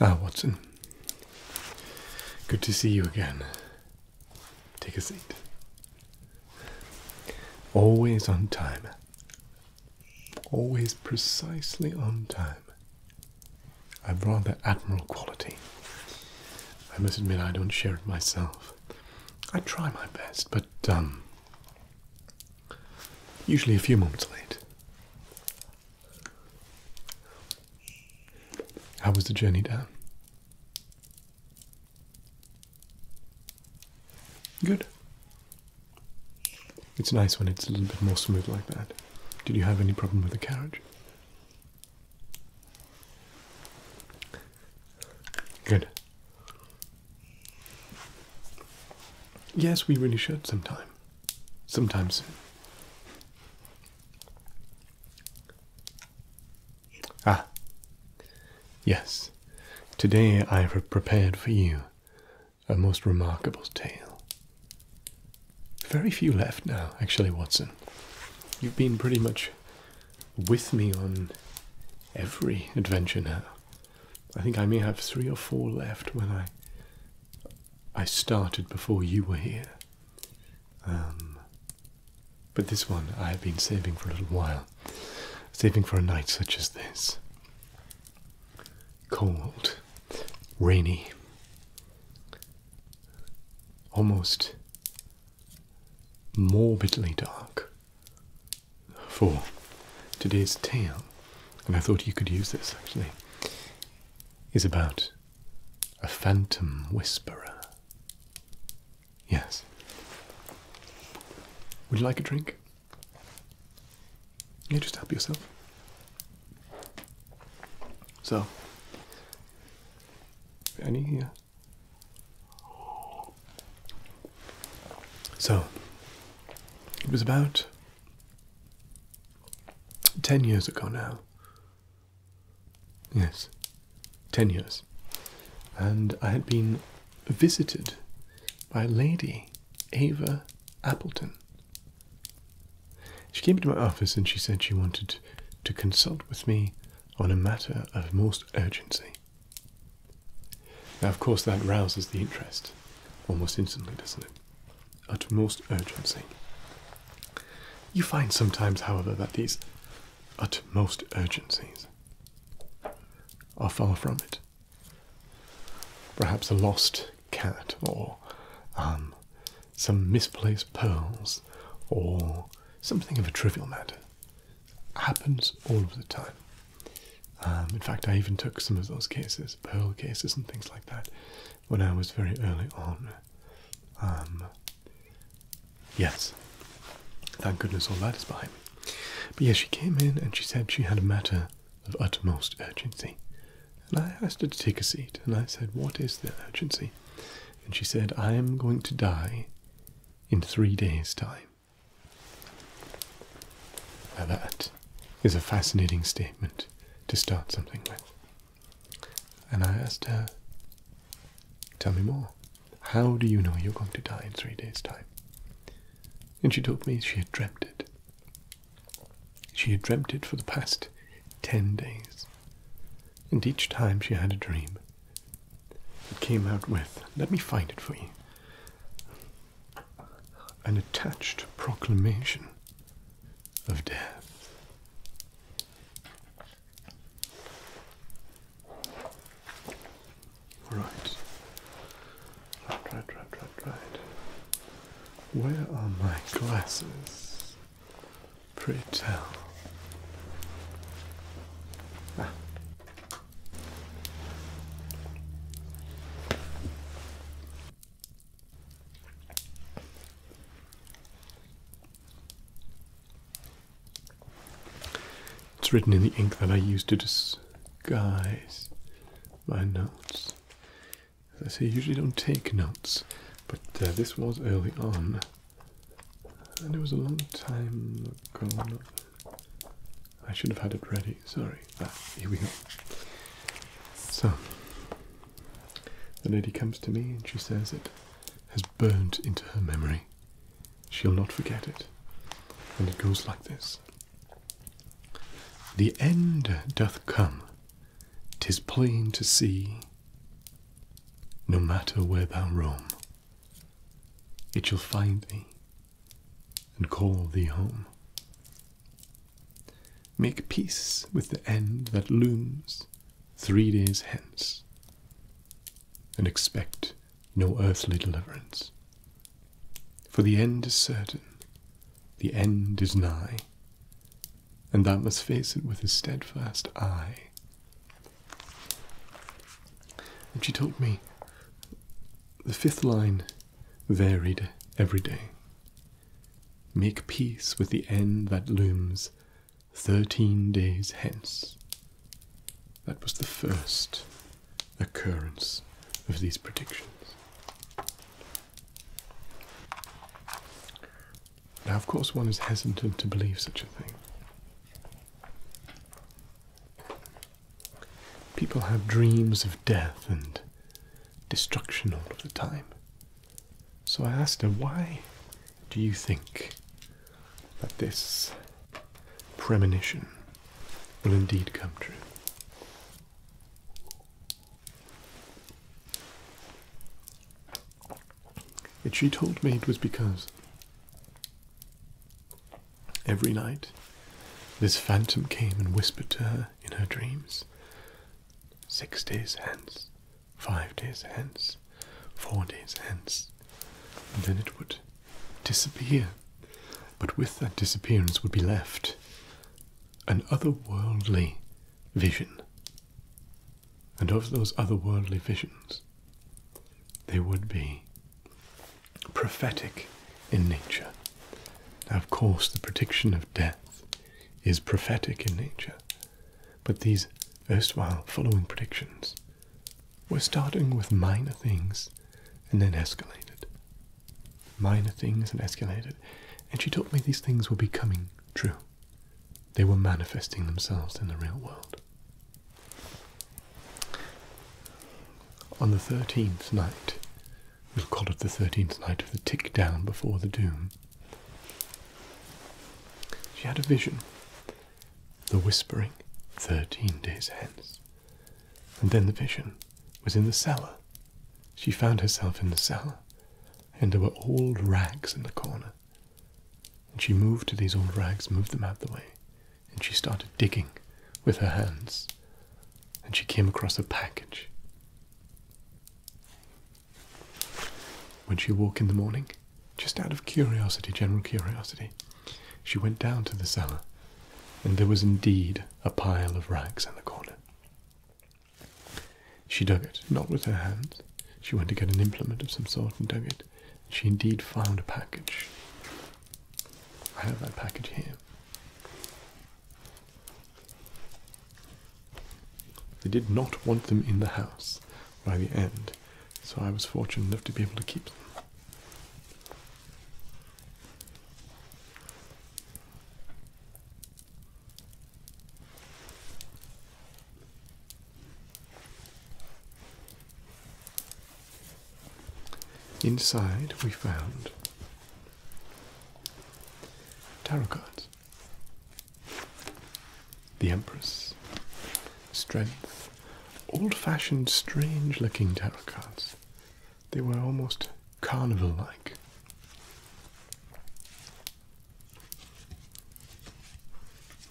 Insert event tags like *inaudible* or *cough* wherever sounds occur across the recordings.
Ah, Watson. Good to see you again. Take a seat. Always on time. Always precisely on time. I've rather admirable quality. I must admit I don't share it myself. I try my best, but um, usually a few moments late. How was the journey down? Good. It's nice when it's a little bit more smooth like that. Did you have any problem with the carriage? Good. Yes, we really should sometime. Sometime Ah. Yes. Today I have prepared for you a most remarkable tale. Very few left now, actually, Watson. You've been pretty much with me on every adventure now. I think I may have three or four left when I I started before you were here. Um, but this one I have been saving for a little while, saving for a night such as this. Cold, rainy, almost morbidly dark for today's tale, and I thought you could use this actually, is about a phantom whisperer. Yes. Would you like a drink? You just help yourself. So, any uh, so, it was about 10 years ago now. Yes, 10 years. And I had been visited by Lady Ava Appleton. She came into my office and she said she wanted to consult with me on a matter of most urgency. Now, of course, that rouses the interest almost instantly, doesn't it? Utmost urgency. You find sometimes, however, that these utmost urgencies are far from it. Perhaps a lost cat, or um, some misplaced pearls, or something of a trivial matter happens all of the time. Um, in fact, I even took some of those cases, pearl cases and things like that, when I was very early on. Um, yes, thank goodness all that is behind me. But yes, she came in and she said she had a matter of utmost urgency. And I asked her to take a seat, and I said, What is the urgency? And she said, I am going to die in three days' time. Now that is a fascinating statement to start something with. And I asked her, Tell me more. How do you know you're going to die in three days' time? And she told me she had dreamt it. She had dreamt it for the past ten days. And each time she had a dream, it came out with. Let me find it for you. An attached proclamation of death. Right. Right, right, right, right, Where are my glasses? Pray tell. Ah. It's written in the ink that I use to disguise my notes. As I say, I usually don't take notes, but uh, this was early on, and it was a long time ago. I should have had it ready, sorry. Ah, here we go. So, the lady comes to me and she says it has burned into her memory. She'll not forget it. And it goes like this The end doth come, tis plain to see, no matter where thou roam. It shall find thee and call thee home. Make peace with the end that looms three days hence, and expect no earthly deliverance. For the end is certain, the end is nigh, and thou must face it with a steadfast eye, and she told me the fifth line varied every day. Make peace with the end that looms thirteen days hence. That was the first occurrence of these predictions. Now, of course, one is hesitant to believe such a thing. People have dreams of death and destruction all of the time. So I asked her, why do you think that this premonition will indeed come true? And she told me it was because Every night, this phantom came and whispered to her in her dreams. Six days hence, five days hence, four days hence, then it would disappear. But with that disappearance would be left an otherworldly vision. And of those otherworldly visions, there would be prophetic in nature. Now, of course, the prediction of death is prophetic in nature, but these erstwhile following predictions were starting with minor things and then escalated. Minor things and escalated. And she told me these things were becoming true. They were manifesting themselves in the real world. On the thirteenth night, we'll call it the thirteenth night of the tick down before the doom, she had a vision. The whispering, thirteen days hence. And then the vision was in the cellar. She found herself in the cellar, and there were old rags in the corner. And she moved to these old rags, moved them out of the way, and she started digging with her hands, and she came across a package. When she woke in the morning, just out of curiosity, general curiosity, she went down to the cellar, and there was indeed a pile of rags in the corner. She dug it, not with her hands. She went to get an implement of some sort and dug it request, she indeed found a package. I have that package here. They did not want them in the house by the end, so I was fortunate enough to be able to keep them. Inside, we found tarot cards, the Empress, Strength, old fashioned, strange looking tarot cards. They were almost carnival like.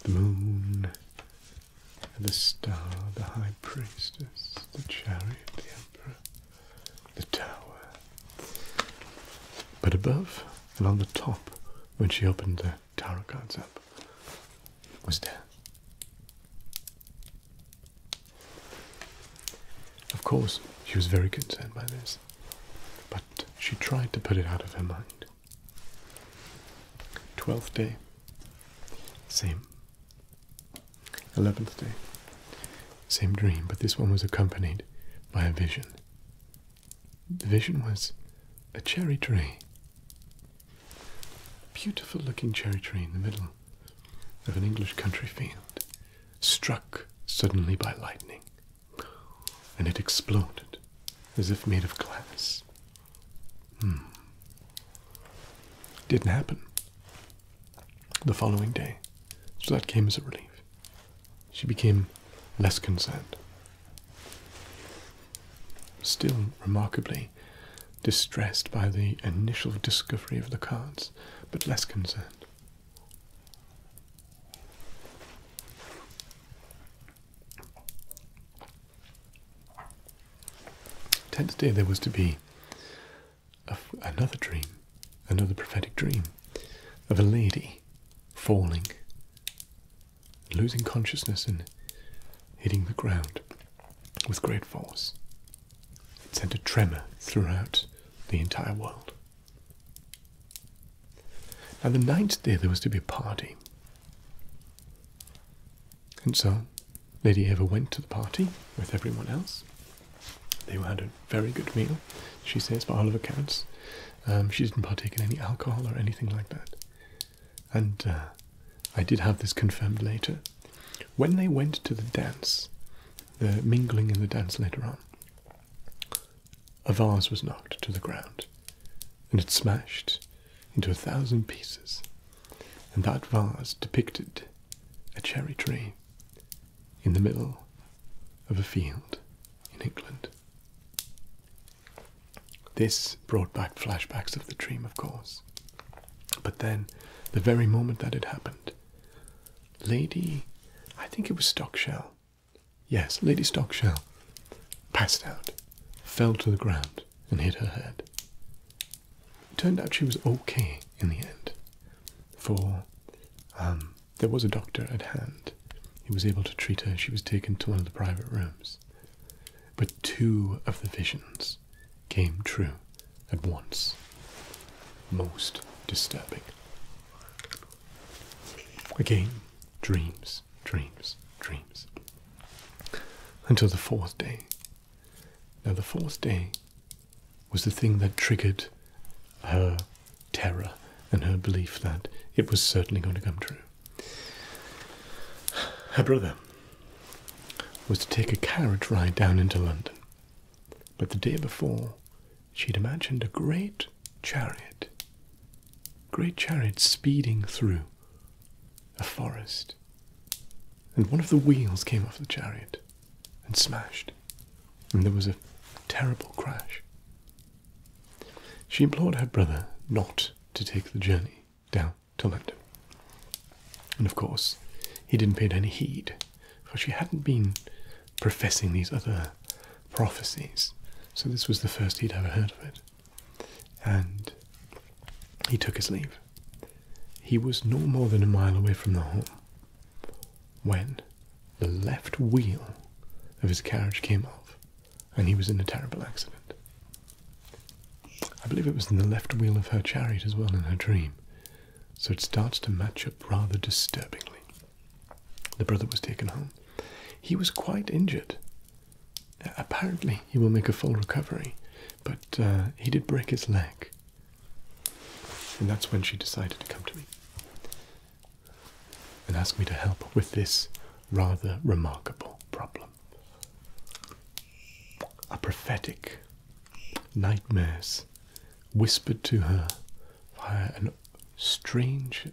The moon, the star, the high priestess, the chariot, the emperor, the tower. But above and on the top, when she opened the tarot cards up, was death. Of course, she was very concerned by this, but she tried to put it out of her mind. Twelfth day, same Eleventh day. Same dream, but this one was accompanied by a vision. The vision was a cherry tree. Beautiful looking cherry tree in the middle of an English country field, struck suddenly by lightning, and it exploded as if made of glass. Hmm. Didn't happen the following day, so that came as a relief. She became less concerned. Still remarkably distressed by the initial discovery of the cards, but less concerned. Tenth day there was to be another dream, another prophetic dream of a lady falling, losing consciousness and hitting the ground with great force. It sent a tremor throughout the entire world. Now, the ninth day there was to be a party. And so Lady Eva went to the party with everyone else. They had a very good meal, she says, by all accounts. she didn't partake in any alcohol or anything like that. And uh, I did have this confirmed later. When they went to the dance, the mingling in the dance later on, a vase was knocked to the ground and it smashed into a thousand pieces, and that vase depicted a cherry tree in the middle of a field in England. This brought back flashbacks of the dream, of course. But then, the very moment that it happened, Lady, I think it was Stockshell, yes, Lady Stockshell, passed out, fell to the ground, and hit her head turned out she was okay in the end. For um, there was a doctor at hand who was able to treat her. She was taken to one of the private rooms. But two of the visions came true at once. Most disturbing. Again, dreams, dreams, dreams. Until the fourth day, now, the fourth day was the thing that triggered her terror and her belief that it was certainly going to come true. Her brother was to take a carriage ride down into London, but the day before she had imagined a great chariot, great chariot speeding through a forest and one of the wheels came off the chariot and smashed, and there was a terrible crash. She implored her brother not to take the journey down to London. And of course, he didn't pay any heed, for she hadn't been professing these other prophecies, so this was the first he'd ever heard of it. And he took his leave, he was no more than a mile away from the home when the left wheel of his carriage came off and he was in a terrible accident. I believe it was in the left wheel of her chariot as well in her dream, so it starts to match up rather disturbingly. The brother was taken home. He was quite injured. Apparently, he will make a full recovery, but uh, he did break his leg. And that's when she decided to come to me and ask me to help with this rather remarkable problem. A prophetic nightmares whispered to her via a strange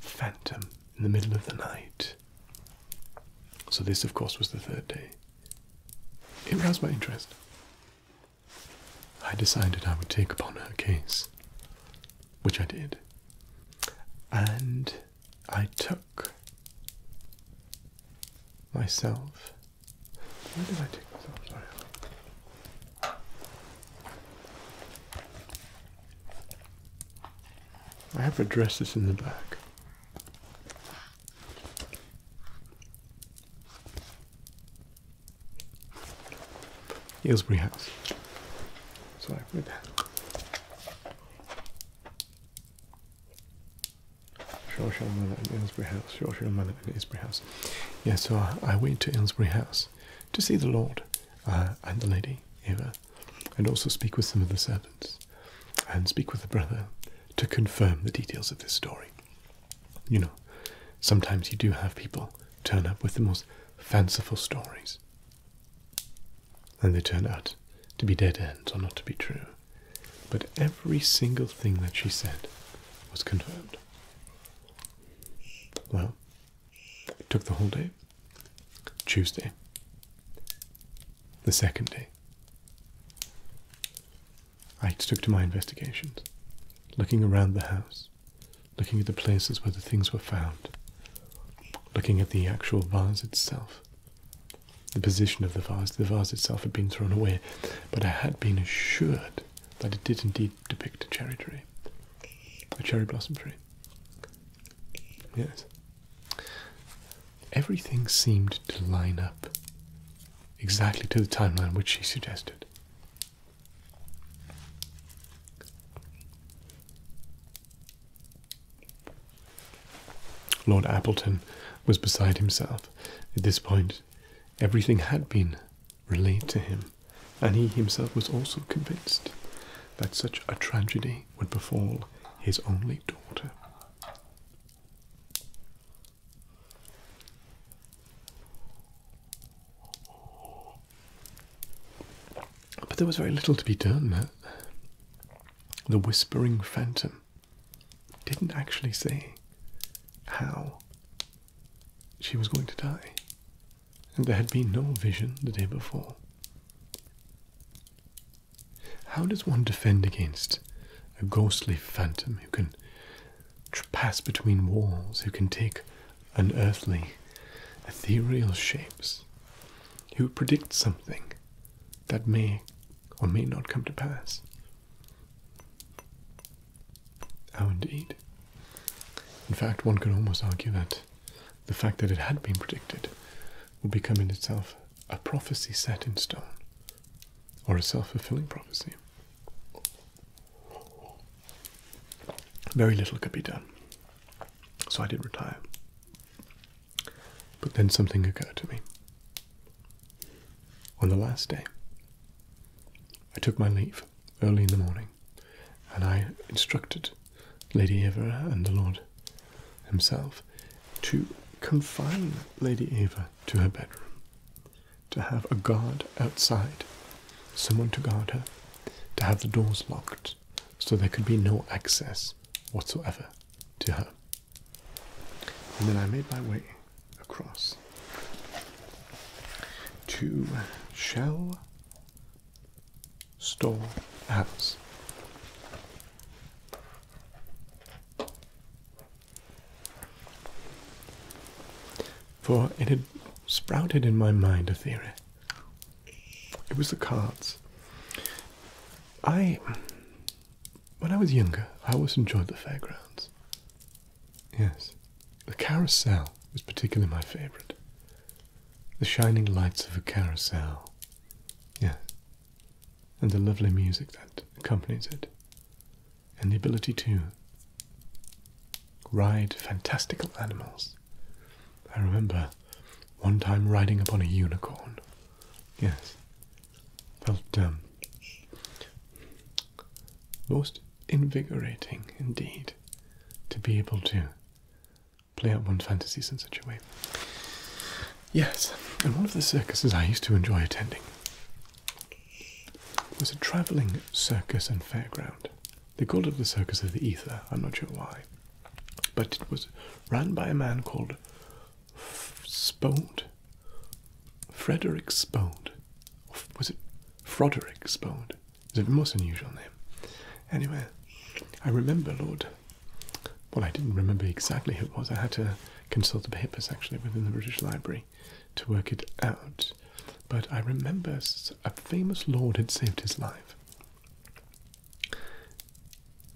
phantom in the middle of the night. So, this, of course, was the third day. It roused my interest. I decided I would take upon her case, which I did, and I took myself. Where did I take myself? I have addresses in the back. Aylesbury House. Sorry, my bad. Shawshire Manor and Aylesbury House. Shawshire Manor and Aylesbury House. Yes. so I, went to Aylesbury House to see the Lord uh, and the Lady Eva and also speak with some of the servants and speak with the brother to confirm the details of this story. You know, sometimes you do have people turn up with the most fanciful stories, and they turn out to be dead ends or not to be true. But every single thing that she said was confirmed. Well, it took the whole day. Tuesday, the second day, I took to my investigations, looking around the house, looking at the places where the things were found, looking at the actual vase itself, the position of the vase. The vase itself had been thrown away, but I had been assured that it did indeed depict a cherry tree, a cherry blossom tree. Yes. Everything seemed to line up exactly to the timeline which she suggested. Lord Appleton was beside himself. At this point, everything had been relayed to him, and he himself was also convinced that such a tragedy would befall his only daughter. But there was very little to be done. The Whispering Phantom didn't actually say how she was going to die, and there had been no vision the day before. How does one defend against a ghostly phantom who can pass between walls, who can take unearthly, ethereal shapes, who predicts something that may or may not come to pass? How indeed. In fact, one could almost argue that the fact that it had been predicted would become in itself a prophecy set in stone or a self fulfilling prophecy. Very little could be done. So I did retire. But then something occurred to me. On the last day, I took my leave early in the morning and I instructed Lady Eva and the Lord himself to confine Lady Eva to her bedroom, to have a guard outside, someone to guard her, to have the doors locked so there could be no access whatsoever to her. And then I made my way across to Shell Store House. For it had sprouted in my mind a theory. It was the carts. I, when I was younger, I always enjoyed the fairgrounds. Yes, the carousel was particularly my favourite. The shining lights of a carousel. Yes and the lovely music that accompanies it, and the ability to ride fantastical animals. I remember one time riding upon a unicorn. Yes, felt um, most invigorating indeed to be able to play out one's fantasies in such a way. Yes, and one of the circuses I used to enjoy attending was a travelling circus and fairground. They called it the Circus of the Ether, I'm not sure why. But it was run by a man called F Spode. Frederick Spode. Was it Froderick Spode? It's a most unusual name. Anyway, I remember, Lord. Well, I didn't remember exactly who it was. I had to consult the papers actually within the British Library to work it out. But I remember a famous lord had saved his life.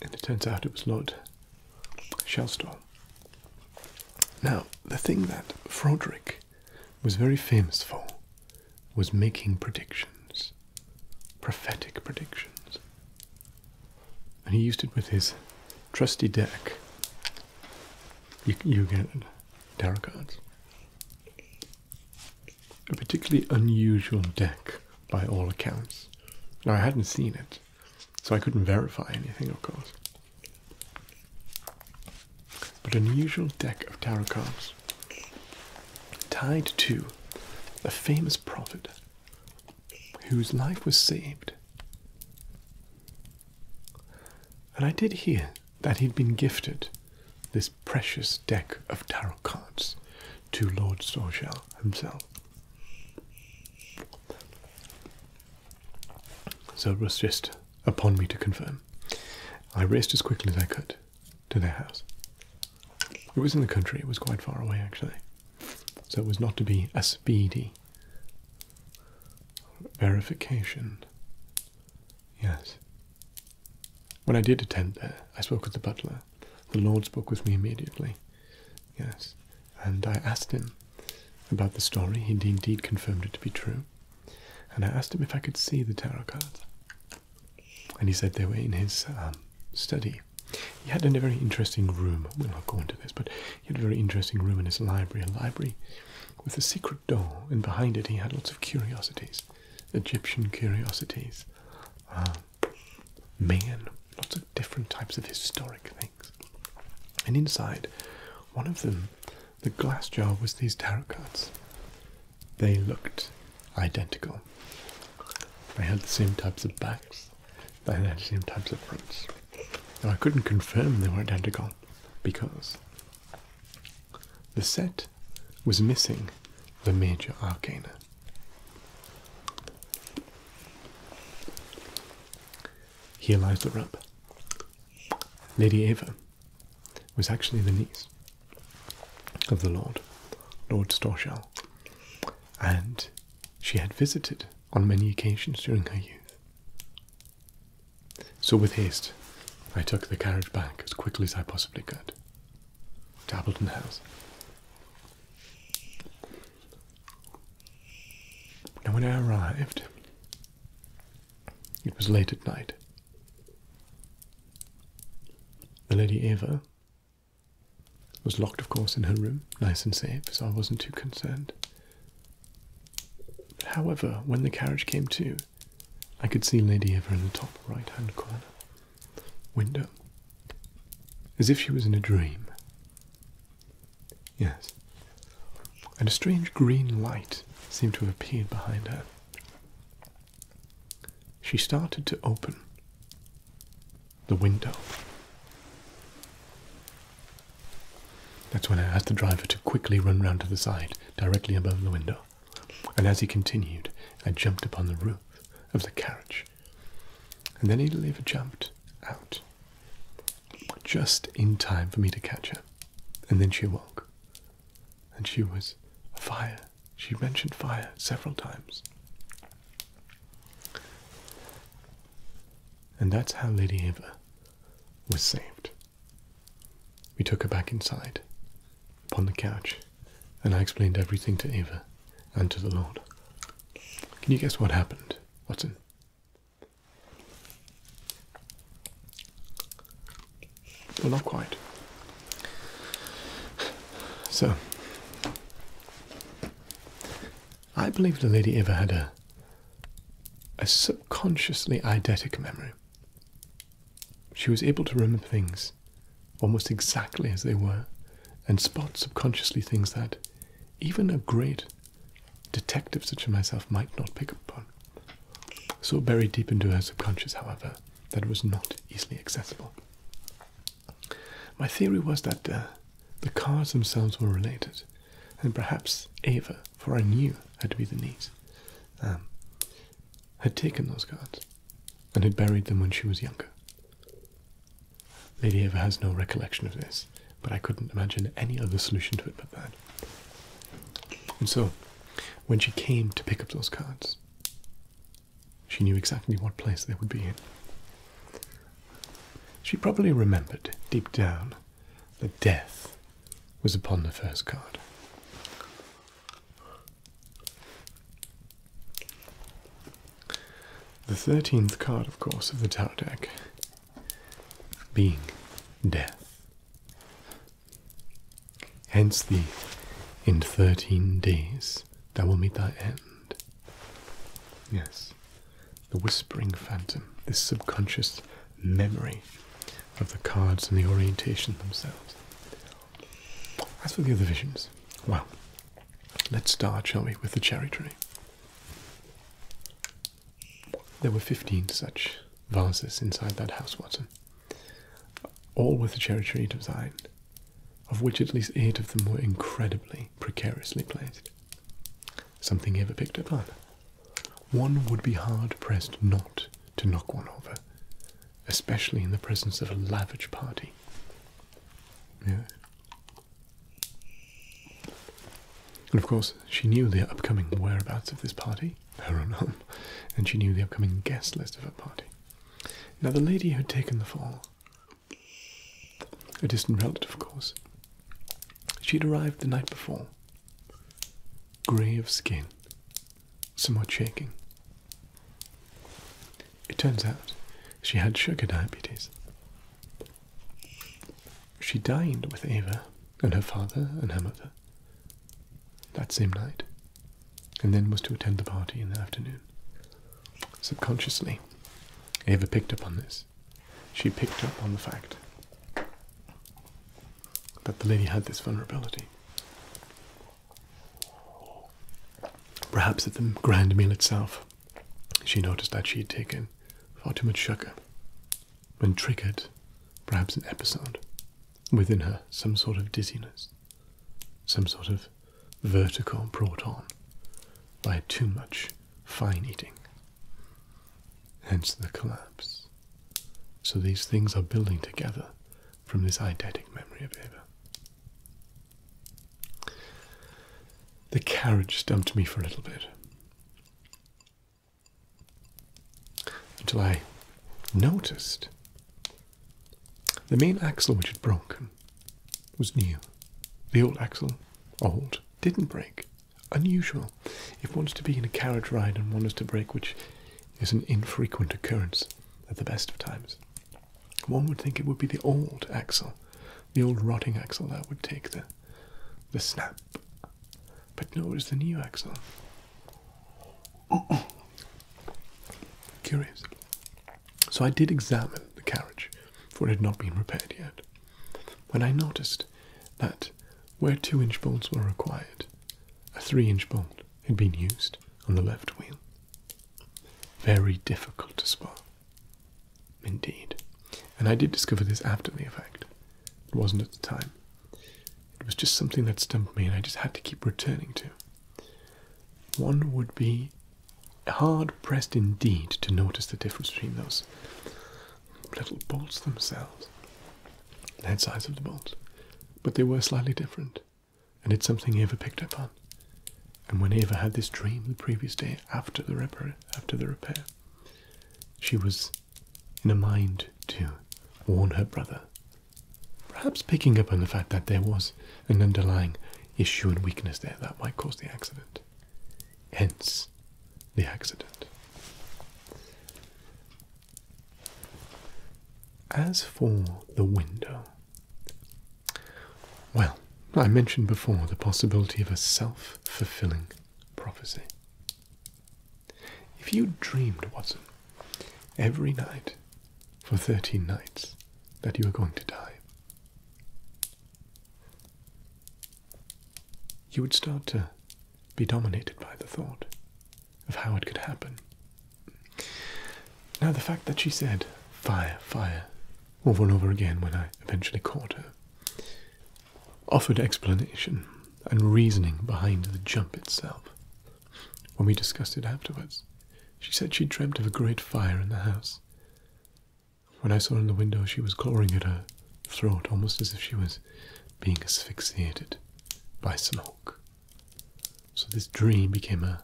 And it turns out it was Lord Shelstorm. Now, the thing that Frederick was very famous for was making predictions, prophetic predictions and he used it with his trusty deck. You, get tarot cards. A particularly unusual deck by all accounts. Now, I hadn't seen it, so I couldn't verify anything, of course. But an unusual deck of tarot cards tied to a famous prophet whose life was saved. And I did hear that he'd been gifted this precious deck of tarot cards to Lord Sorgel himself. So it was just upon me to confirm. I raced as quickly as I could to their house. It was in the country, it was quite far away actually, so it was not to be a speedy Verification. Yes. When I did attend there, I spoke with the butler. The Lord spoke with me immediately. Yes. And I asked him about the story. He indeed confirmed it to be true. And I asked him if I could see the tarot cards. And he said they were in his um, study. He had a very interesting room. We'll not go into this, but he had a very interesting room in his library, a library with a secret door, and behind it he had lots of curiosities, Egyptian curiosities, um, man, lots of different types of historic things. And inside one of them, the glass jar was these tarot cards. They looked identical. They had the same types of backs. They had the same types of prints. Now I couldn't confirm they were identical because the set was missing the major arcana. Here lies the rub. Lady Eva was actually the niece of the Lord, Lord Storshell, and she had visited on many occasions during her youth. So, with haste, I took the carriage back as quickly as I possibly could to Appleton House. Now, when I arrived, it was late at night. The Lady Eva was locked, of course, in her room, nice and safe, so I wasn't too concerned. However, when the carriage came to, I could see Lady Eva in the top right hand corner window, as if she was in a dream. Yes, and a strange green light seemed to have appeared behind her. She started to open, the window. That's when I asked the driver to quickly run round to the side, directly above the window. And as he continued, I jumped upon the roof of the carriage. And then he jumped out, just in time for me to catch her. And then she awoke. And she was fire. She mentioned fire several times. And that's how Lady Eva was saved. We took her back inside, upon the couch, and I explained everything to Eva and to the Lord. Can you guess what happened, Watson? Well, not quite. So, I believe the lady ever had a a subconsciously eidetic memory. She was able to remember things almost exactly as they were and spot subconsciously things that even a great detective such as myself might not pick up on. So buried deep into her subconscious, however, that was not easily accessible. My theory was that uh, the cars themselves were related and perhaps Eva, for I knew her to be the niece, um, had taken those cards and had buried them when she was younger. Lady Eva has no recollection of this, but I couldn't imagine any other solution to it but that. And so, when she came to pick up those cards, she knew exactly what place they would be in. She probably remembered, deep down, the death was upon the first card. The 13th card, of course, of the Tower deck being death. Hence thee, in 13 days thou wilt meet thy end. Yes, the whispering phantom, this subconscious memory of the cards and the orientation themselves. As for the other visions, well, let's start, shall we, with the cherry tree. There were 15 such vases inside that house, Watson, all with the cherry tree design, of which at least eight of them were incredibly precariously placed something he ever picked up on. One would be hard pressed not to knock one over, especially in the presence of a lavish party. Yeah. And of course, she knew the upcoming whereabouts of this party, her own home, and she knew the upcoming guest list of her party. Now, the lady who had taken the fall a distant relative, of course. She'd arrived the night before, grey of skin, somewhat shaking. It turns out she had sugar diabetes. She dined with Ava and her father and her mother that same night, and then was to attend the party in the afternoon. Subconsciously, Ava picked up on this she picked up on the fact that the lady had this vulnerability. Perhaps at the grand meal itself, she noticed that she had taken far too much sugar and triggered perhaps an episode within her, some sort of dizziness, some sort of vertigo brought on by too much fine eating hence the collapse. So these things are building together from this eidetic memory of Eva. The carriage stumped me for a little bit until I noticed the main axle which had broken was new. The old axle, old, didn't break unusual. If one's to be in a carriage ride and one is to break, which is an infrequent occurrence at the best of times, one would think it would be the old axle, the old rotting axle that would take the the snap. But no, it's the new axle. *coughs* Curious. So I did examine the carriage, for it had not been repaired yet. When I noticed that where 2 inch bolts were required, a 3 inch bolt had been used on the left wheel. Very difficult to spot. Indeed. And I did discover this after the effect. It wasn't at the time. It was just something that stumped me and I just had to keep returning to. One would be hard pressed indeed to notice the difference between those little bolts themselves, the head size of the bolts, but they were slightly different, and it's something Eva picked up on. And when Eva had this dream the previous day after the repair, after the repair, she was in a mind to warn her brother, perhaps picking up on the fact that there was an underlying issue and weakness there that might cause the accident. Hence, the accident. As for the window, well, I mentioned before the possibility of a self fulfilling prophecy. If you dreamed, Watson, every night for 13 nights that you were going to die, you would start to be dominated by the thought of how it could happen. Now, the fact that she said, fire, fire, over and over again when I eventually caught her, offered explanation and reasoning behind the jump itself. When we discussed it afterwards, she said she dreamt of a great fire in the house. When I saw her in the window, she was clawing at her throat almost as if she was being asphyxiated by smoke. So this dream became a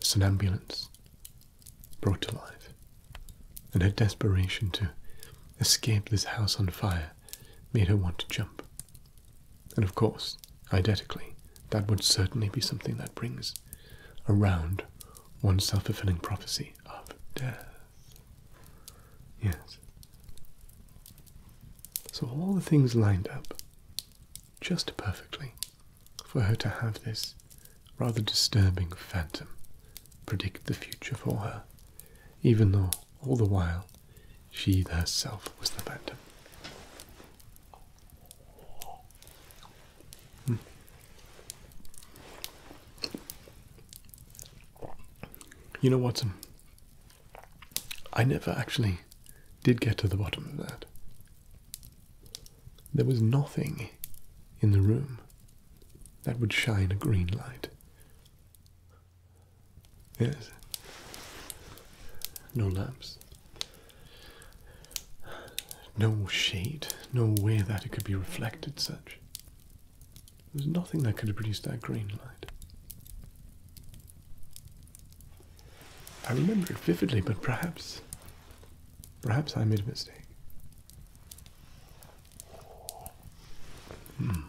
somnambulance brought to life. And her desperation to escape this house on fire made her want to jump. And of course, identically, that would certainly be something that brings around one's self fulfilling prophecy of death. Yes. So all the things lined up just perfectly for her to have this rather disturbing phantom predict the future for her, even though all the while she herself was the phantom. Hmm. You know, Watson, I never actually did get to the bottom of that. There was nothing in the room that would shine a green light. Yes. No lamps. No shade. No way that it could be reflected such. There's nothing that could have produced that green light. I remember it vividly, but perhaps, perhaps I made a mistake. Hmm.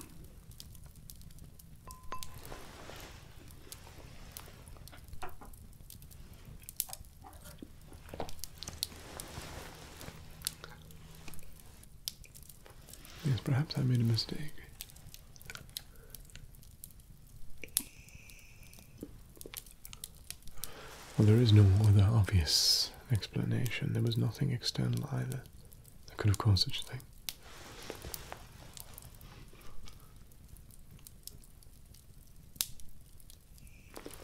Yes, perhaps I made a mistake. Well, there is no other obvious explanation. There was nothing external either that could have caused such a thing.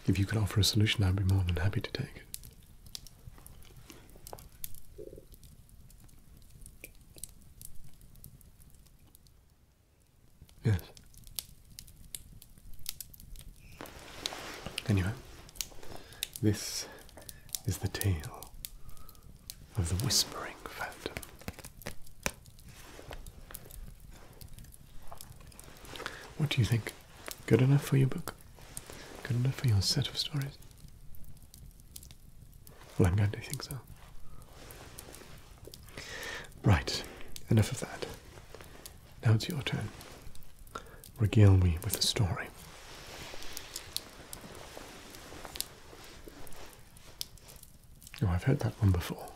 If you could offer a solution, I'd be more than happy to take it. Yes. Anyway, this is the tale of the Whispering Phantom. What do you think? Good enough for your book. Good enough for your set of stories. Well, I'm going to think so. Right, enough of that. Now it's your turn. Regale me with a story. Oh, I've heard that one before.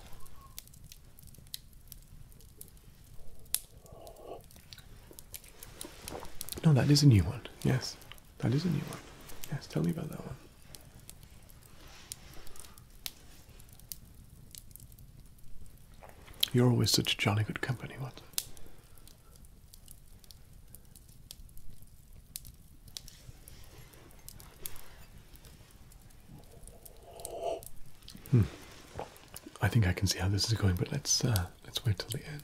No, that is a new one. Yes, that is a new one. Yes, tell me about that one. You're always such jolly good company, what? Hmm. I think I can see how this is going, but let's uh, let's wait till the end.